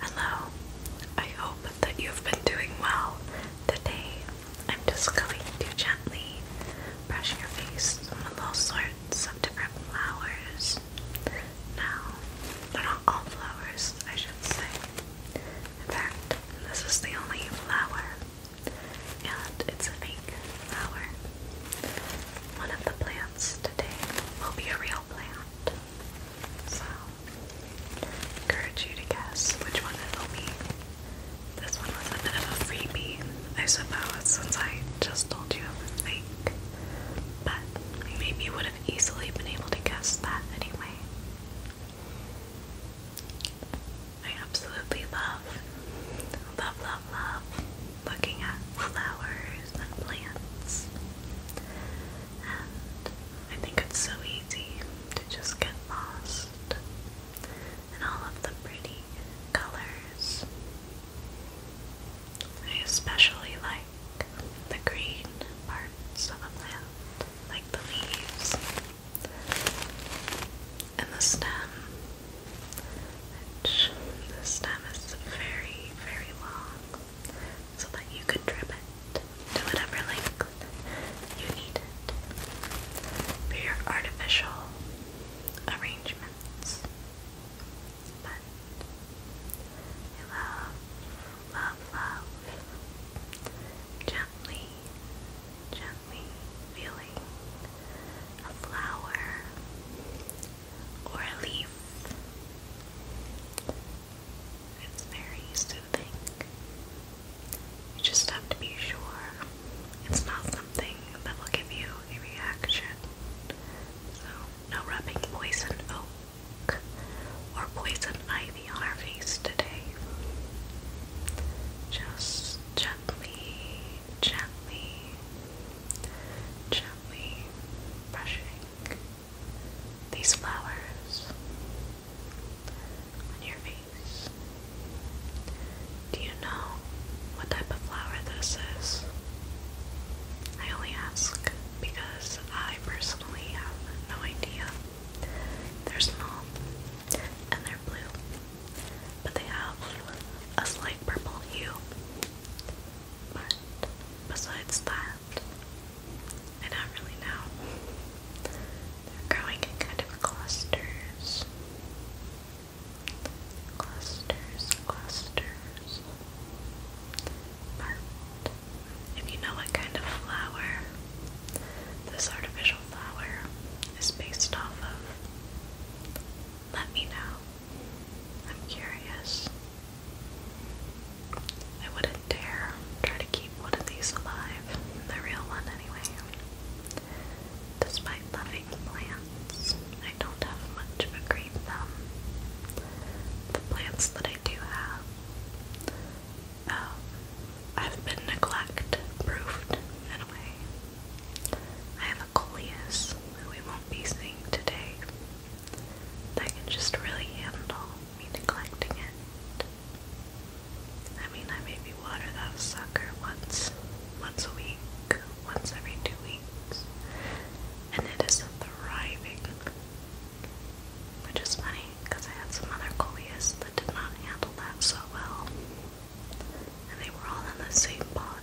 Hello, I hope that you've been doing well. Today, I'm just going to gently brush your face with all sorts of different flowers. Now, they're not all flowers, I should say. In fact, this is the only flower, and it's a fake flower. One of the plants today will be a real plant. So, encourage you to guess which one it'll be. This one was a bit of a freebie, I suppose, since I just told you fake. But maybe you would have easily been able to guess that anyway. I absolutely love, love, love, love looking at flowers and plants. I think it's so easy to just get lost in all of the pretty colors. I especially like the green parts of a plant, like the leaves and the stem, which the stem is very, very long, so that you could drip it to whatever length you need it for your artificial arrangements. But love, love, love gently, gently feeling a flower or a leaf it's very soothing. You just have to be sure it's not something that will give you a reaction. So, no rubbing poison oak or poison ivy on our face today. Just gently, gently, gently brushing these flowers on your face. Do you know what type of flower this is? I only ask because I personally have no idea. They're small and they're blue, but they have a slight purple hue. But besides that, I don't really know. They're growing in kind of clusters. Clusters, clusters. if you know what kind of flower this artificial flower is based off of, let me know. I'm curious. I wouldn't dare try to keep one of these alive, the real one anyway. Despite loving plants, I don't have much of a green thumb. The plants that I do have, I've um, been neglect-proofed in a way. I have a coleus, who we won't be seeing today, that can just really handle me neglecting it. I mean, I maybe water that sucker once, once a week, once every two weeks, and it is thriving. Which is funny, because I had some other coleus that did not handle that so well. And they were all in the same pot,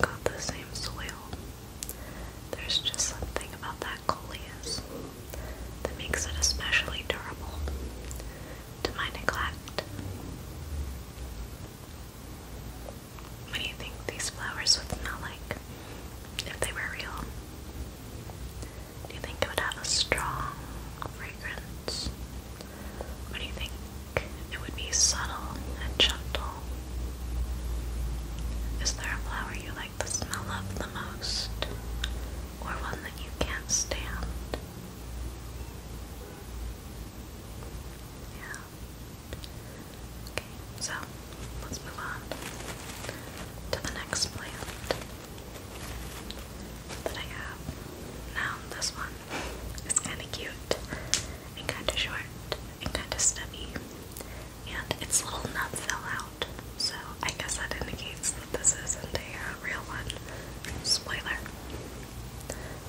got the same soil. There's just something about that black that makes it especially durable to my neglect. What do you think these flowers would smell like if they were real? Do you think it would have a strong fragrance? Or do you think it would be subtle and gentle? Is there a flower you like the smell of the most, or one that you can't stand? Yeah. Okay, so let's move on to the next plant that I have. Now, this one is kind of cute and kind of short and kind of stubby, and its little nuts fell out. So I guess that indicates that this isn't a uh, real one. Spoiler.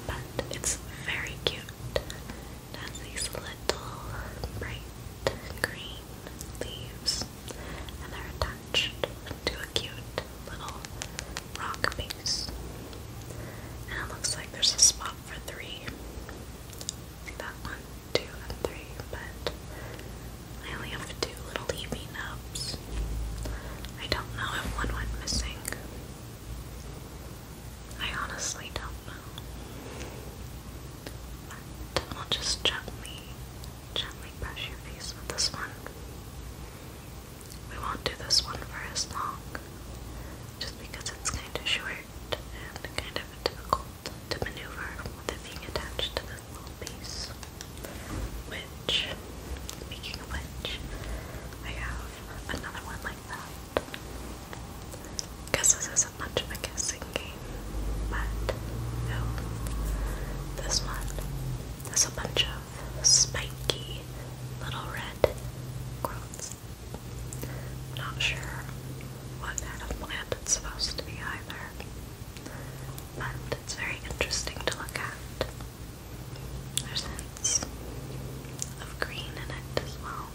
But it's very cute. It has these little bright green leaves, and they're attached to a cute little rock base. And it looks like there's a spot for three. See that one? two, and three, but I only have two little EB nubs. I don't know if one went missing. I honestly don't know. But i just gently, gently brush your face with this one. We won't do this one for as long, just because it's kind of short and kind of difficult to maneuver with being attached to this little piece. Which, speaking of which, I have another one like that. Guess this isn't much of a guessing game, but no. This one has a bunch of spiky little red growths. Not sure what kind of plant it's supposed to be either but it's very interesting to look at. There's hints of green in it as well.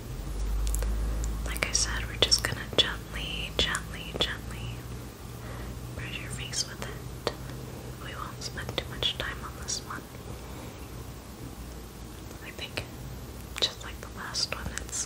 Like I said, we're just gonna gently, gently, gently brush your face with it. We won't spend too much time on this one. I think, just like the last one, it's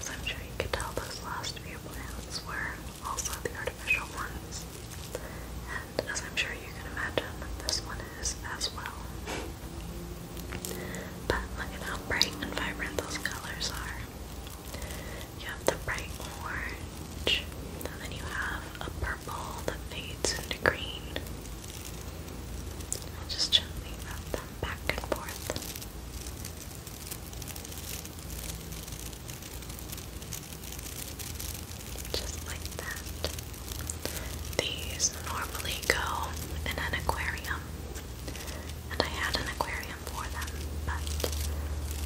So I'm sure you can tell those last few plants were also the artificial ones. And as I'm sure you can imagine, this one is as well. But look at how bright and vibrant those colors are. You have the bright orange, and then you have a purple that fades into green. I'll just gently rub them back and forth. Just like that. These normally go in an aquarium, and I had an aquarium for them, but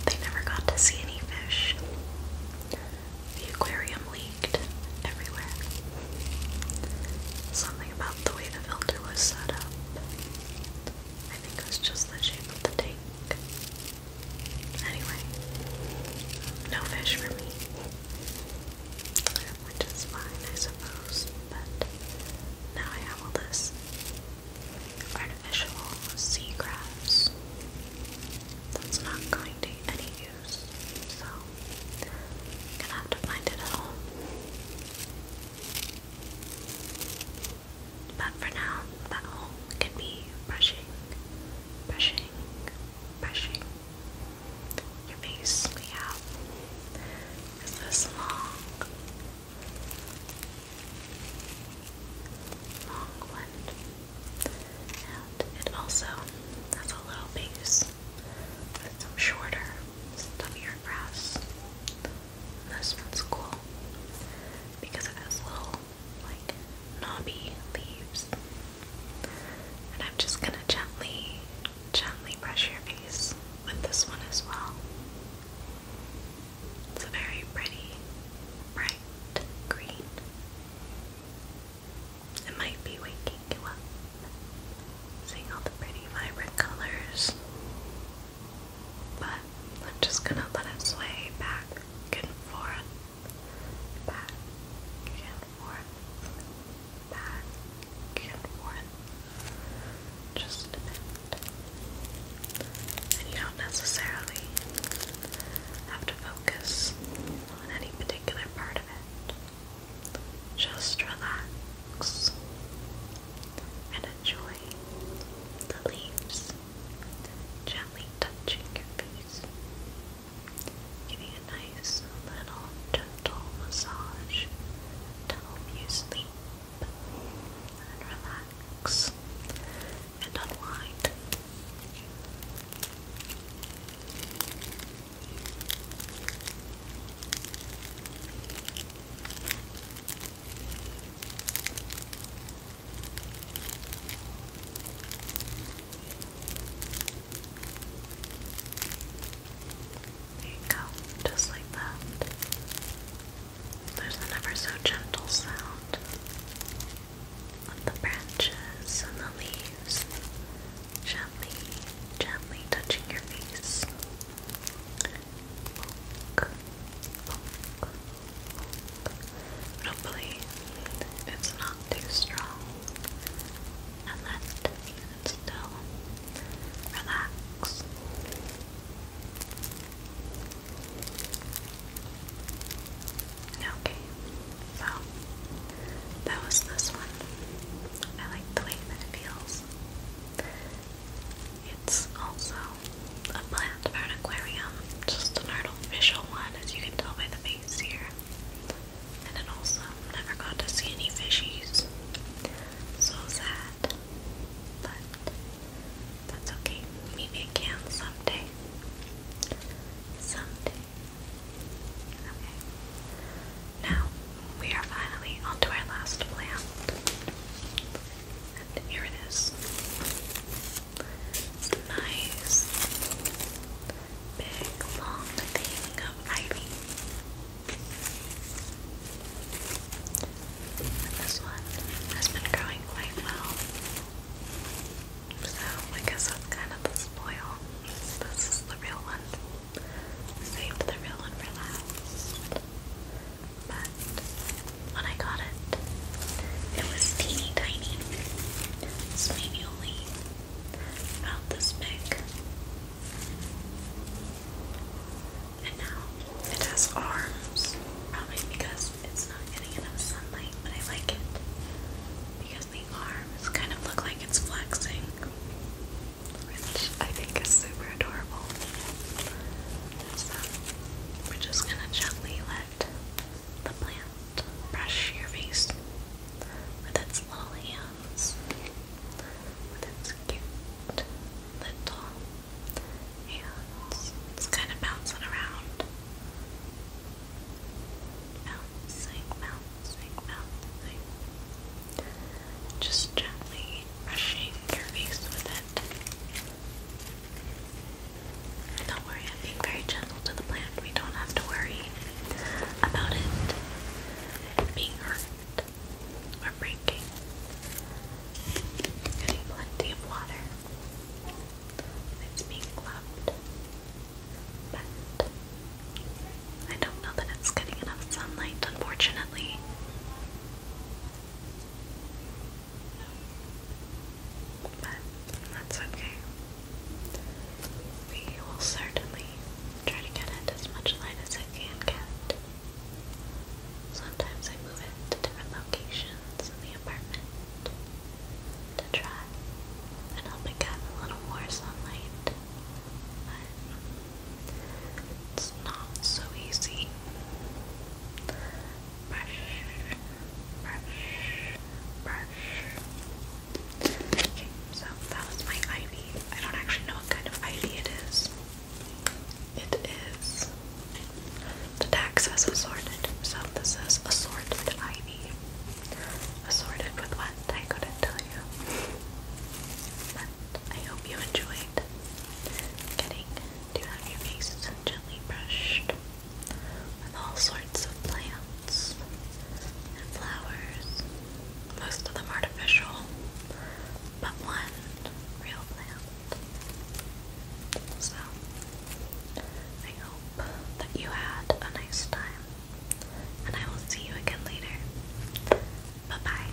they never got to see any fish. The aquarium leaked everywhere. Something about the way the filter was set up. I think it was just the shape of the tank. Anyway, no fish for me. Which is fine, I suppose, but now I have all this artificial seagrass that's not going to any use, so gonna have to find it at home. But for now, that hole can be brushing, brushing, brushing your face. We have is this long, long one, and it also has a little base with some shorter, stubbier grass. This one's cool because it has little like knobby leaves. And I'm just gonna gently, gently brush your face with this one as well. It's a very pretty, bright green. It might be waking you up, seeing all the pretty vibrant colors. But I'm just gonna let it sway back and forth, back and forth, back and forth, just a bit. And you don't necessarily have to focus on any particular part of it. Just relax and enjoy the leaves gently touching your face, giving a nice little gentle massage to help you sleep and relax and unwind. There you go, just like that. There's an ever so gentle sound of the branches and the leaves gently, gently touching your face. Hopefully it's not too strong and that you still relax. Okay, so that was this one. I like the way that it feels. It's also a plant for an aquarium, just an artificial one, as you can tell by the base here. And it also never got to see any fishies. So sad. But that's okay. Maybe it can someday. Someday. Okay. Now we are finally on to our last plant. And here it is. It's a nice, big, long thing of ivy. this one has been growing quite well. So I guess that's kind of the spoil. This is the real one. Saved the real one for last but when I got it, it was teeny tiny. It's maybe only about this big. And now it has arms, probably because it's not getting enough sunlight, but I like it because the arms kind of look like it's flexing, which I think is super adorable we're just gonna gently let the plant brush your face with its little hands, with its cute little hands. It's kind of bouncing around. Bouncing, bouncing, bouncing. Just gently brushing your face with it. Don't worry, I'm being very gentle to the plant. We don't have to worry about it being hurt or breaking. Getting plenty of water. It's being loved. But I don't know that it's getting enough sunlight, unfortunately. But that's okay. We will certainly try to get as much light as I can get. Sometimes I move it to different locations in the apartment to try and help it get a little more sunlight. But it's not so easy brush, brush, brush. Okay, so that was my ivy. I don't actually know what kind of ivy it is. It is the tax was assorted, so this is assorted ivy. Assorted with what? I couldn't tell you. I hope you enjoyed getting to have your face gently brushed with all sorts of plants and flowers. Most of them artificial, but one real plant. So, I hope that you had a nice time, and I will see you again later. Bye bye.